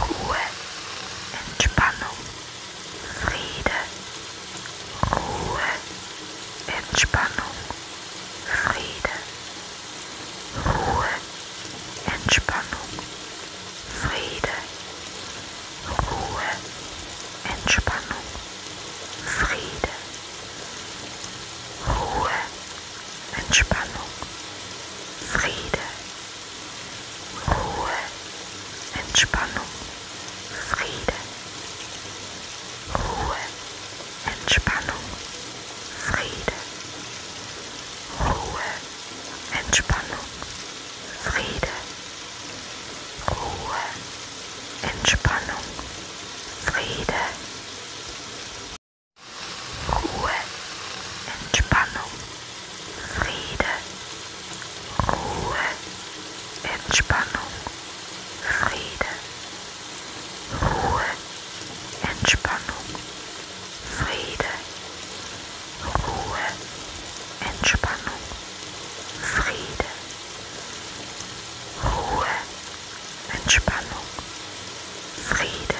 Ruhe, Entspannung, Friede, Ruhe, Entspannung, Friede, Ruhe, Entspannung, Friede, Ruhe, Entspannung, Friede, Ruhe, Entspannung, Friede. Ruhe, Entspannung, Friede. Ruhe, Entspannung, Friede. Ruhe, Entspannung, Friede. Ruhe, Entspannung, Friede. Ruhe, Entspannung, Friede, Ruhe, Entspannung, Friede, Ruhe, Entspannung, Friede, Ruhe, Entspannung, Friede, Ruhe, Entspannung, Friede.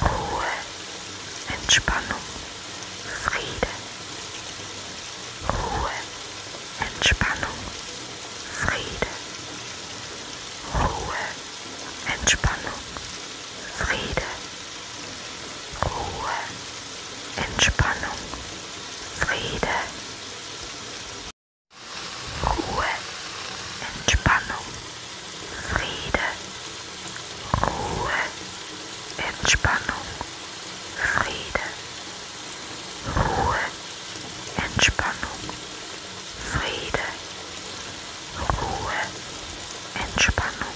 Ruhe, Entspannung, Friede. Ruhe, Entspannung, Friede. Ruhe, Entspannung, Friede. Ruhe, Entspannung, Friede. Ruhe, Entspannung. Friede, Ruhe, Entspannung, Friede, Ruhe, Entspannung, Friede, Ruhe, Entspannung,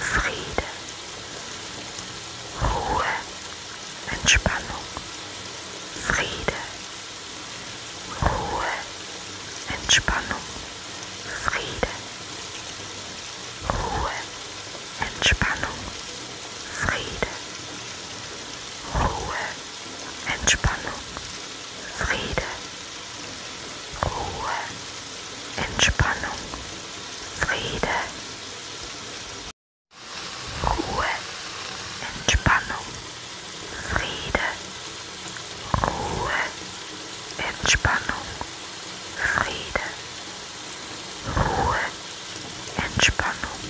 Friede, Ruhe, Entspannung, Friede, Ruhe, Entspannung. Friede, Ruhe, Entspannung, Friede, Ruhe, Entspannung, Friede, Ruhe, Entspannung, Friede, Ruhe, Entspannung, Friede. Ruhe, Entspannung, Friede. Ruhe, Entspannung,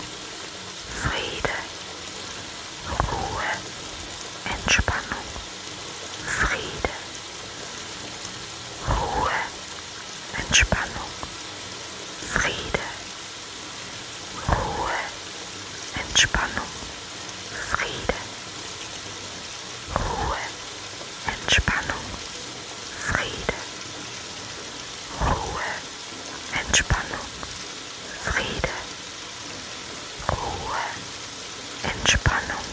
Friede. Ruhe, Entspannung, Friede. Ruhe, Entspannung, Friede. Ruhe, Entspannung. Friede, Ruhe, Entspannung, Friede, Ruhe, Entspannung, Friede, Ruhe, Entspannung,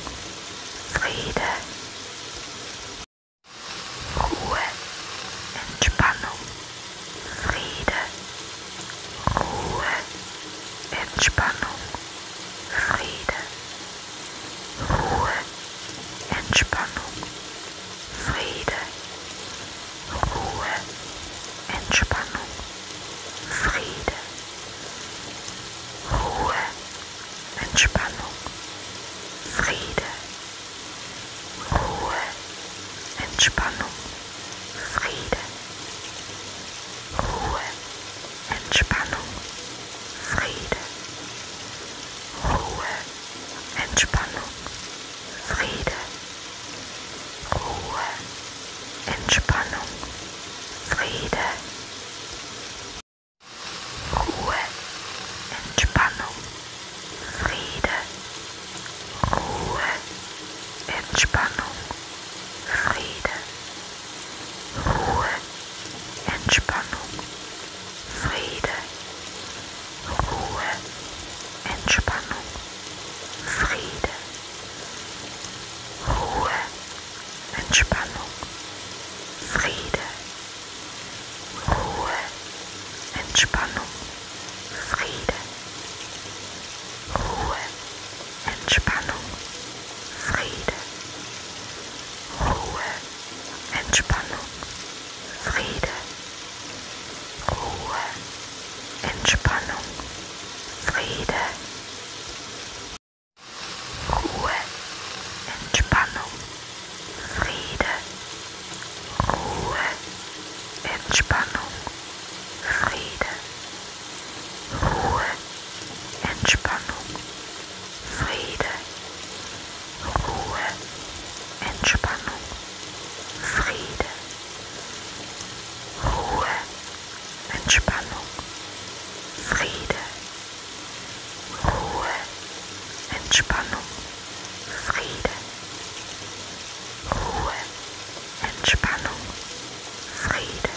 Friede, Ruhe, Entspannung, Friede, Ruhe, Entspannung. Friede, Ruhe, Entspannung, Friede, Ruhe, Entspannung, Friede, Ruhe, Entspannung, Friede, Ruhe, Entspannung, Friede. Ruhe, Entspannung, Friede. Ruhe, Entspannung, Friede. Ruhe, Entspannung, Friede. Ruhe, Entspannung, Friede. Ruhe, Entspannung, Friede. Ruhe, Entspannung, Friede, Ruhe, Entspannung, Friede, Ruhe, Entspannung, Friede, Ruhe, Entspannung, Friede. Ruhe, Entspannung, Friede. Ruhe, Entspannung, Friede. Ruhe, Entspannung, Friede. Ruhe, Entspannung, Friede. Ruhe, Entspannung, Friede. Ruhe, Entspannung, Friede, Ruhe, Entspannung, Friede, Ruhe, Entspannung, Friede, Ruhe, Entspannung, Friede, Ruhe, Entspannung, Friede,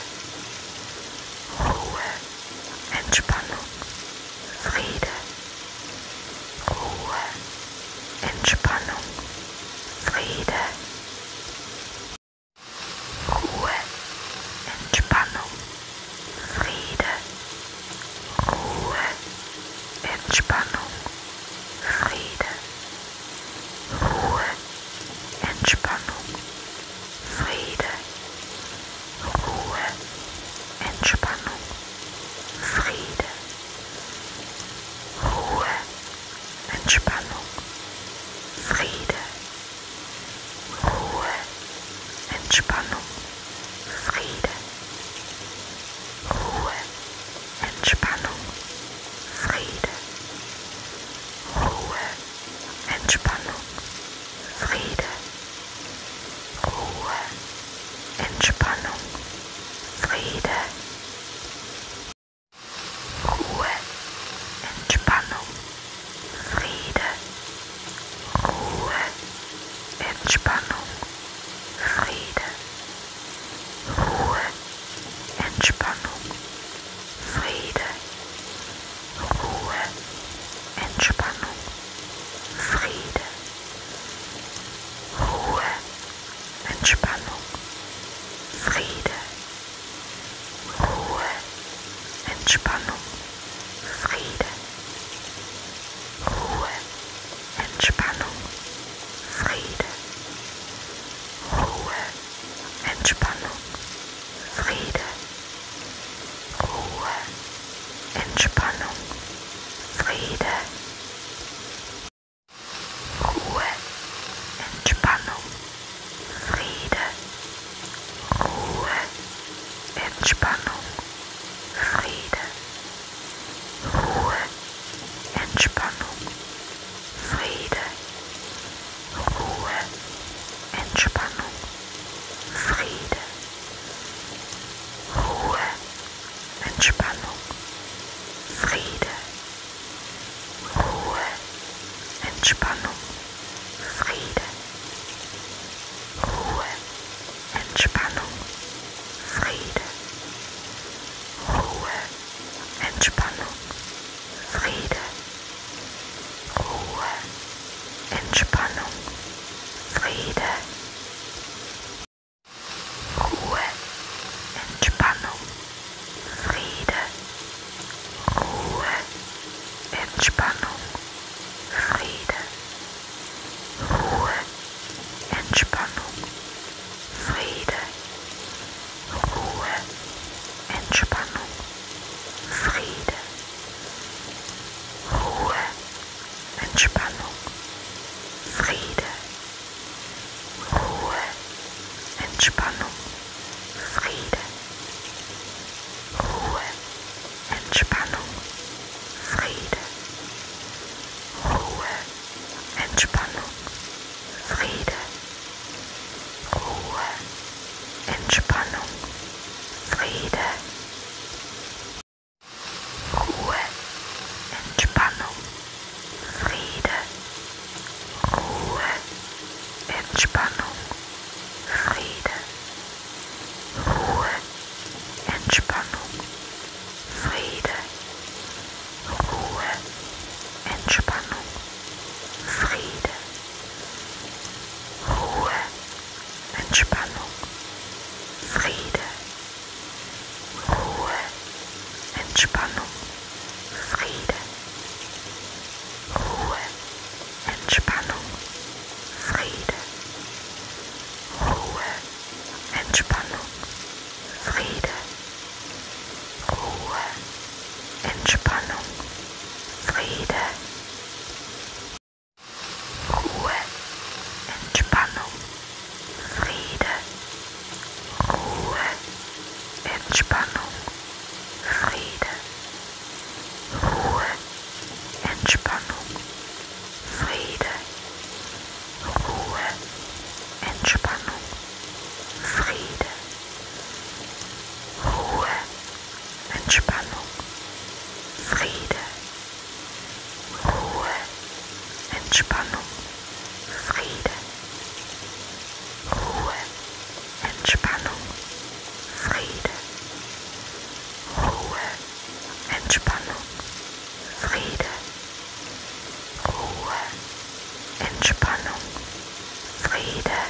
Ruhe, Entspannung, Friede, Ruhe, Entspannung, Friede, Ruhe, Entspannung, Friede, Ruhe, Entspannung, Friede, Ruhe, Entspannung. Friede, Ruhe, Entspannung, Friede, Ruhe, Entspannung, Friede, Ruhe, Entspannung, Friede, Ruhe, Entspannung, Friede, Ruhe. Entspannung, Friede, Ruhe, Entspannung, Friede, Ruhe, Entspannung, Friede, Ruhe, Entspannung, Friede, Ruhe, Entspannung. Friede, Ruhe, Entspannung, Friede, Ruhe, Entspannung, Friede, Ruhe, Entspannung, Friede, Ruhe, Entspannung, Friede, Ruhe, Entspannung, Friede, Ruhe, Entspannung, Friede, Ruhe, Entspannung, Friede, Ruhe, Entspannung, Friede, Ruhe, Entspannung, Friede. Ruhe, Entspannung, Friede. Ruhe, Entspannung, Friede. Ruhe, Entspannung, Friede. Ruhe, Entspannung, Friede. Ruhe, Entspannung, Friede. Ruhe, Entspannung, Friede. Ruhe, Entspannung, Friede. Ruhe, Entspannung, Friede. Ruhe, Entspannung, Friede. Ruhe, Entspannung, Friede. Ruhe, Entspannung, Friede. Ruhe, Entspannung, Friede. Ruhe, Entspannung, Friede. Ruhe, Entspannung, Friede. Ruhe, Entspannung, Friede, Ruhe, Entspannung, Friede, Ruhe, Entspannung, Friede, Ruhe, Entspannung, Friede, Ruhe, Entspannung, Friede. Ruhe, Entspannung, Friede. Ruhe, Entspannung, Friede. Ruhe, Entspannung, Friede. Ruhe, Entspannung, Friede. Ruhe, Entspannung, Friede. Ruhe, Entspannung, Friede, Ruhe, Entspannung, Friede, Ruhe, Entspannung, Friede, Ruhe, Entspannung, Friede, Ruhe, Entspannung, Friede, Ruhe, Entspannung, Friede, Ruhe, Entspannung, Friede, Ruhe, Entspannung, Friede, Ruhe, Entspannung, Friede.